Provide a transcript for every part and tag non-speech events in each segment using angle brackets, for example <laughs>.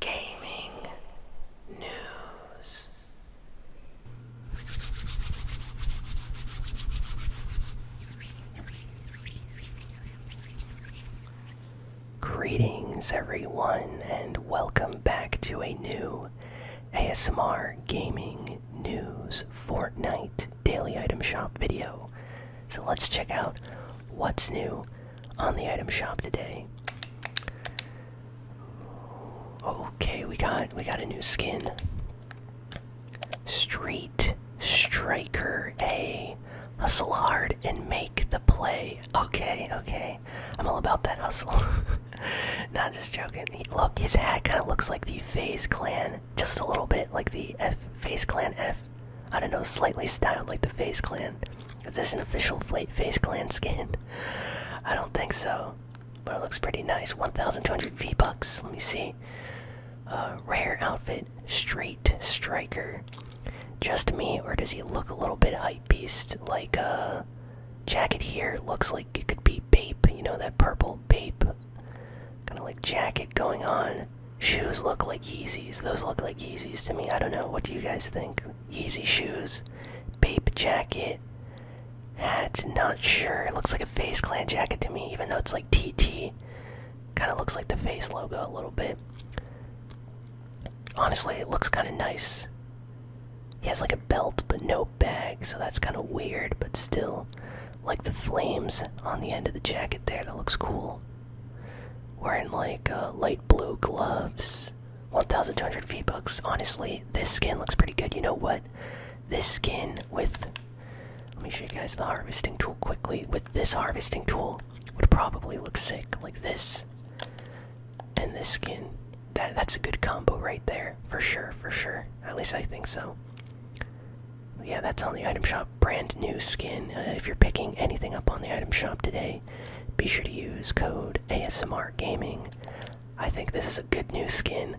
gaming news. Greetings, everyone, and welcome back to a new ASMR Gaming News Fortnite Daily Item Shop video. So let's check out what's new on the item shop today. Okay, we got we got a new skin. Street Striker A. Hustle hard and make the play. Okay, okay. I'm all about that hustle. <laughs> Not just joking. look, his hat kind of looks like the Face Clan, just a little bit like the F Face Clan F. I don't know, slightly styled like the Face Clan. Is this an official Flate Face Clan skin? <laughs> I don't think so, but it looks pretty nice. 1,200 V bucks. Let me see. Uh, rare outfit, straight striker. Just me, or does he look a little bit hype beast? Like a uh, jacket here looks like it could be Bape. You know that purple Bape, kind of like jacket going on. Shoes look like Yeezys. Those look like. Yeezys to me. I don't know. What do you guys think? Yeezy shoes, Bape jacket, hat, not sure. It looks like a Face Clan jacket to me, even though it's like TT. Kind of looks like the Face logo a little bit. Honestly, it looks kind of nice. He has like a belt but no bag, so that's kind of weird, but still. Like the flames on the end of the jacket there, that looks cool. Wearing like uh, light blue gloves. 1,200 V bucks. Honestly, this skin looks pretty good. You know what? This skin with. Let me show you guys the harvesting tool quickly. With this harvesting tool, would probably look sick like this. And this skin. That that's a good combo right there, for sure, for sure. At least I think so. Yeah, that's on the item shop brand new skin. Uh, if you're picking anything up on the item shop today, be sure to use code ASMR Gaming. I think this is a good new skin.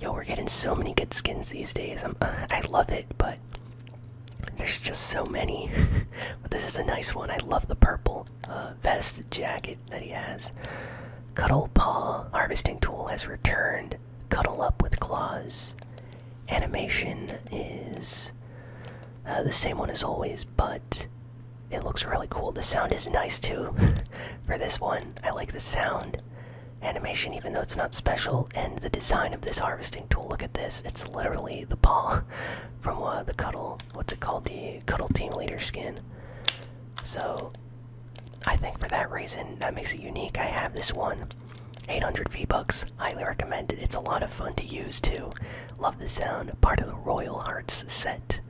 Yo, we're getting so many good skins these days. I'm, <laughs> I love it, but there's just so many. <laughs> but this is a nice one. I love the purple uh, vest jacket that he has. Cuddle Paw Harvesting Tool has returned. Cuddle Up with Claws Animation is uh, the same one as always, but it looks really cool. The sound is nice too <laughs> for this one. I like the sound animation, even though it's not special, and the design of this harvesting tool. Look at this. It's literally the paw <laughs> from uh, the Cuddle, what's it called? The Cuddle Team Leader skin. So I think for that reason, that makes it unique. I have this one. 800 V-Bucks. Highly recommend it. It's a lot of fun to use too. Love the sound. Part of the Royal Hearts set.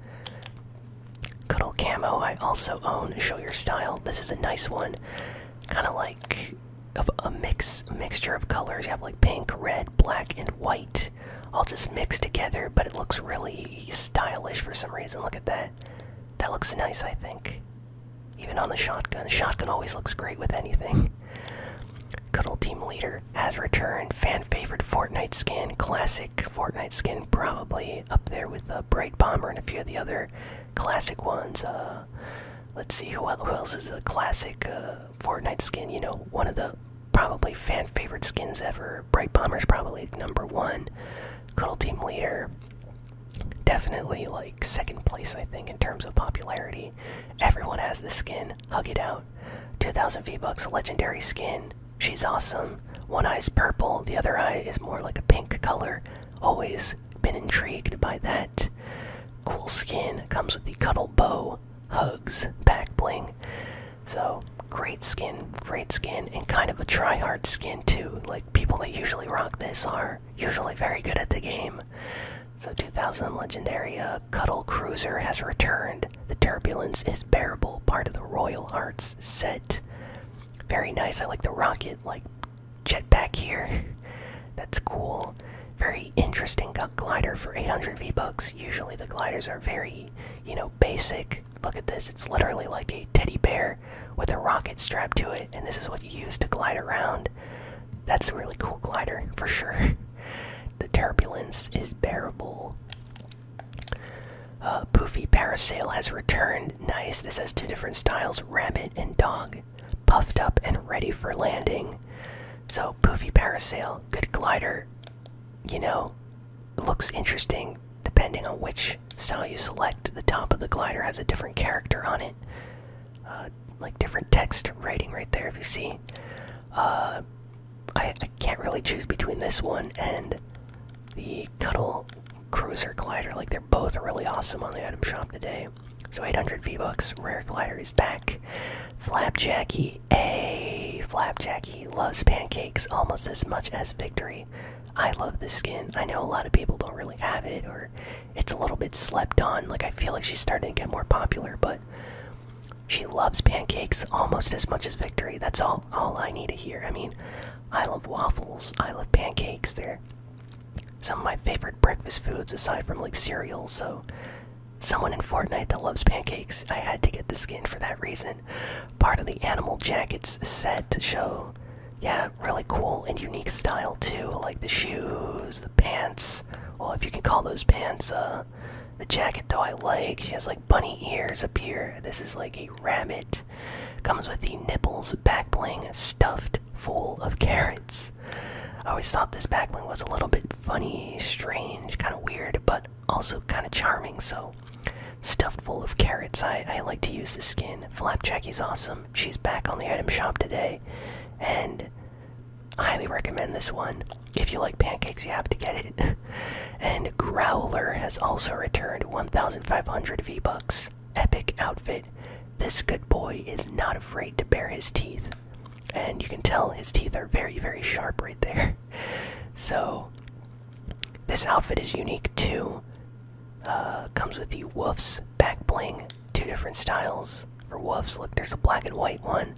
Cuddle Camo, I also own. Show Your Style. This is a nice one. Kind of like of a mix mixture of colors. You have like pink, red, black, and white all just mixed together, but it looks really stylish for some reason. Look at that. That looks nice, I think. Even on the shotgun, shotgun always looks great with anything. <laughs> Good old team leader has returned. Fan favorite Fortnite skin, classic Fortnite skin, probably up there with the uh, Bright Bomber and a few of the other classic ones. Uh, let's see who else is a classic uh, Fortnite skin. You know, one of the probably fan favorite skins ever. Bright Bomber is probably number one. Good old team leader definitely like second place i think in terms of popularity everyone has this skin hug it out 2000 v bucks legendary skin she's awesome one eye's purple the other eye is more like a pink color always been intrigued by that cool skin comes with the cuddle bow hugs back bling so great skin great skin and kind of a try hard skin too like people that usually rock this are usually very good at the game so 2000 legendary uh, Cuddle Cruiser has returned. The turbulence is bearable, part of the Royal Arts set. Very nice. I like the rocket, like jetpack here. <laughs> That's cool. Very interesting glider for 800 V bucks. Usually the gliders are very, you know, basic. Look at this. It's literally like a teddy bear with a rocket strapped to it, and this is what you use to glide around. That's a really cool glider for sure. <laughs> the turbulence is bearable. Uh, Poofy parasail has returned. Nice. This has two different styles: rabbit and dog, puffed up and ready for landing. So Poofy parasail, good glider. You know, looks interesting depending on which style you select. The top of the glider has a different character on it. Uh, like different text writing right there if you see uh, I, I can't really choose between this one and the Cuddle Cruiser Glider. Like they're both really awesome on the item shop today. So 800 V bucks. Rare Glider is back. Flapjacky, a Flapjacky loves pancakes almost as much as Victory. I love this skin. I know a lot of people don't really have it or it's a little bit slept on. Like I feel like she's starting to get more popular, but she loves pancakes almost as much as Victory. That's all I need to hear. I mean, I love waffles. I love pancakes. They're some of my favorite breakfast foods aside from like cereal. So someone in Fortnite that loves pancakes, I had to get the skin for that reason. Part of the animal jacket's set to show yeah, really cool and unique style too. Like the shoes, the pants. Well, if you can call those pants. Uh, the jacket though I like. She has like bunny ears up here. This is like a rabbit. Comes with the nipples back bling stuffed full of carrots. I always thought this back bling was a little bit funny, strange, kind of weird, but also kind of charming. So stuffed full of carrots. I I like to use this skin. Flapjack is awesome she's back on the item shop today, and I highly recommend this one. If you like pancakes, you have to get it. <laughs> and Growler has also returned 1,500 V Bucks. Epic outfit. This good boy is not afraid to bare his teeth. And you can tell his teeth are very, very sharp right there. <laughs> So, this outfit is unique too uh, comes with the Woofs back bling. Two different styles for Woofs. Look, there's a black and white one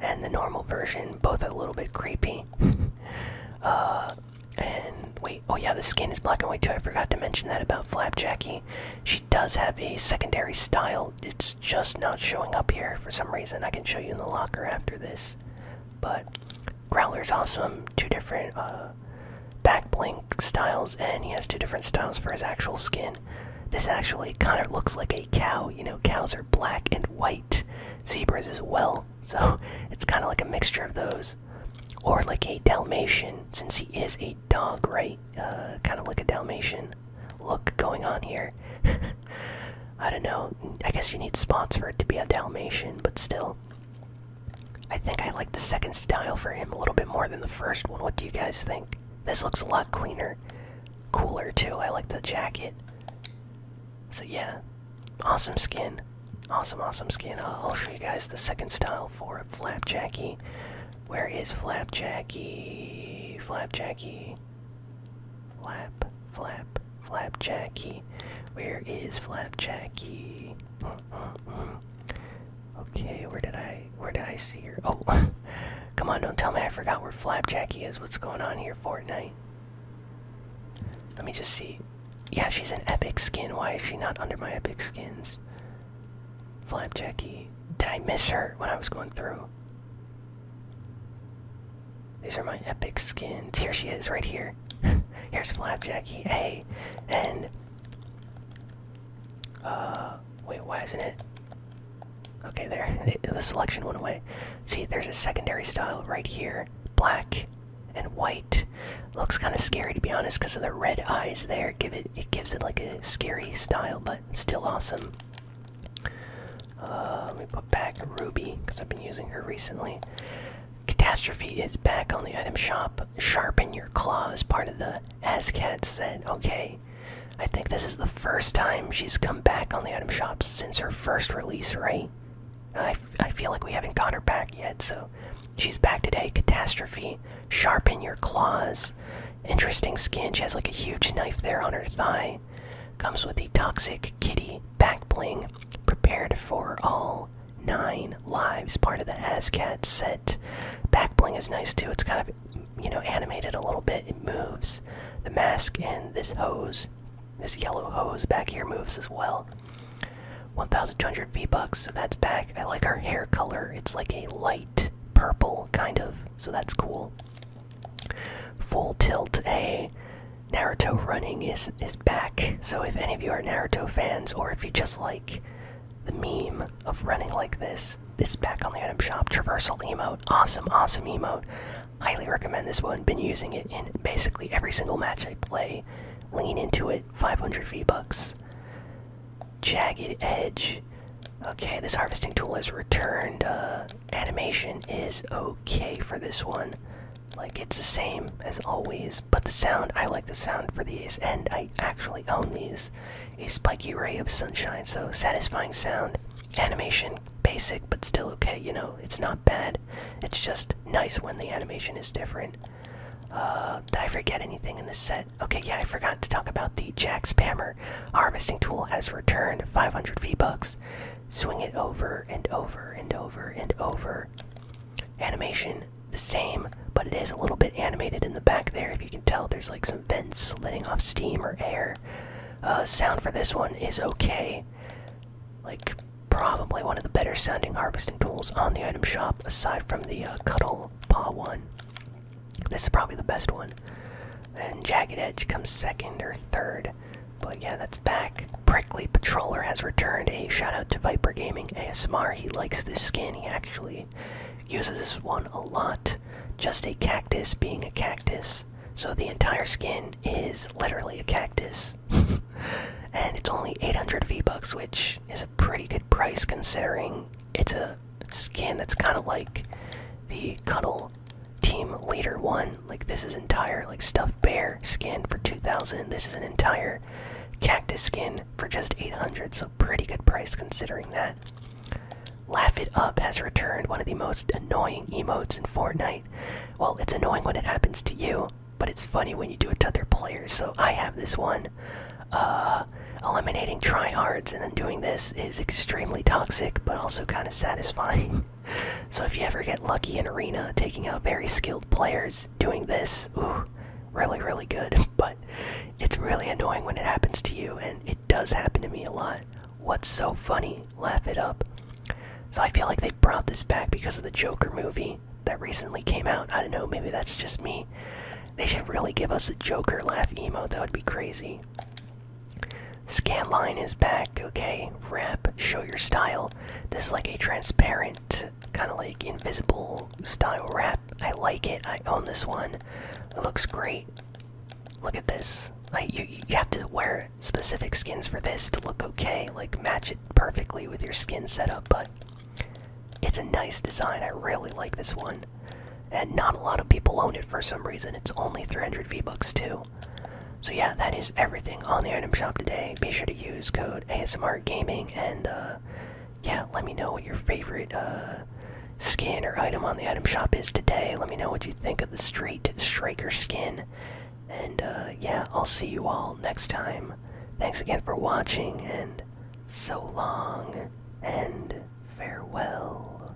and the normal version. Both a little bit creepy. <laughs> Uh, and wait, oh yeah, the skin is black and white too. I forgot to mention that about Flapjackie. She does have a secondary style. It's just not showing up here for some reason. I can show you in the locker after this. But Growler's awesome. Two different uh, back blink styles, and he has two different styles for his actual skin. This actually kind of looks like a cow. You know, cows are black and white, zebras as well. <laughs> So it's kind of like a mixture of those. Or like a Dalmatian, since he is a dog, right? Uh, kind of like a Dalmatian look going on here. <laughs> I don't know. I guess you need spots for it to be a Dalmatian, but still. I think I like the second style for him a little bit more than the first one. What do you guys think? This looks a lot cleaner, cooler too. I like the jacket. So, yeah, awesome skin. Awesome, awesome skin. I'll show you guys the second style for Flapjacky. Where is Flapjacky? Flapjacky. Flap, flap, Flapjacky. Where is Flapjacky? Hmm. Okay, where did I where did I see her? Oh <laughs> come on, don't tell me I forgot where Flapjacky is. What's going on here, Fortnite? Let me just see. Yeah, she's an epic skin. Why is she not under my epic skins? Flapjacky. Did I miss her when I was going through? These are my epic skins. Here she is, right here. <laughs> Here's Flapjacky, A, and uh, wait, why isn't it? Okay, there, <laughs> the selection went away. See, there's a secondary style right here, black and white. Looks kind of scary to be honest, because of the red eyes there. Give it, it gives it like a scary style, but still awesome. Uh, let me put back Ruby because I've been using her recently. Catastrophe is back on the item shop. Sharpen your claws, part of the Hascat said. Okay, I think this is the first time she's come back on the item shop since her first release, right? I, I feel like we haven't got her back yet, so she's back today. Catastrophe, sharpen your claws. Interesting skin. She has like a huge knife there on her thigh. Comes with the toxic kitty back bling prepared for all nine lives part of the hascat set back bling is nice too it's kind of you know animated a little bit it moves the mask and this hose this yellow hose back here moves as well 1200 v bucks so that's back i like her hair color it's like a light purple kind of so that's cool full tilt a Naruto running is is back. So if any of you are Naruto fans, or if you just like the meme of running like this, this is back on the item shop. Traversal emote, awesome, awesome emote. Highly recommend this one. Been using it in basically every single match I play. Lean into it. 500 V bucks. Jagged edge. Okay, this harvesting tool has returned. Uh, animation is okay for this one. Like it's the same as always, but the sound I like the sound for these, and I actually own these. A spiky ray of sunshine, so satisfying sound, animation basic but still okay. You know, it's not bad. It's just nice when the animation is different. Uh, did I forget anything in this set? Okay, yeah, I forgot to talk about the Jack Spammer harvesting tool has returned 500 V bucks. Swing it over and over and over and over. Animation the same, but it is a little bit animated in the back there. If you can tell, there's like some vents letting off steam or air. Uh, sound for this one is okay. Like, probably one of the better sounding harvesting tools on the item shop, aside from the uh, Cuddle Paw one. This is probably the best one. And Jagged Edge comes second or third. But yeah, that's back. Prickly Patroller has returned. A shout out to Viper Gaming ASMR. He likes this skin. He actually uses this one a lot. Just a cactus being a cactus. So the entire skin is literally a cactus. <laughs> and it's only 800 V-Bucks, which is a pretty good price considering it's a skin that's kind of like the Cuddle Team Leader 1. Like, this is entire, like, stuffed bear skin for 2000 This is an entire cactus skin for just 800 So, pretty good price considering that. Laugh It Up has returned one of the most annoying emotes in Fortnite. Well, it's annoying when it happens to you, but it's funny when you do it to other players. So, I have this one. Uh, eliminating tryhards and then doing this is extremely toxic, but also kind of satisfying. <laughs> so if you ever get lucky in arena taking out very skilled players doing this, ooh, really really good. <laughs> But it's really annoying when it happens to you, and it does happen to me a lot. What's so funny? Laugh it up. So I feel like they brought this back because of the Joker movie that recently came out. I don't know, maybe that's just me. They should really give us a Joker laugh emote. That would be crazy. Scanline is back, okay? Wrap, show your style. This is like a transparent, kind of like invisible style wrap. I like it. I own this one. It looks great. Look at this. Like you, you have to wear specific skins for this to look okay. Like match it perfectly with your skin setup. But it's a nice design. I really like this one, and not a lot of people own it for some reason. It's only 300 V bucks too. So yeah, that is everything on the item shop today. Be sure to use code ASMR Gaming and uh, yeah, let me know what your favorite uh, skin or item on the item shop is today. Let me know what you think of the Street Striker skin. And uh, yeah, I'll see you all next time. Thanks again for watching, and so long, and farewell.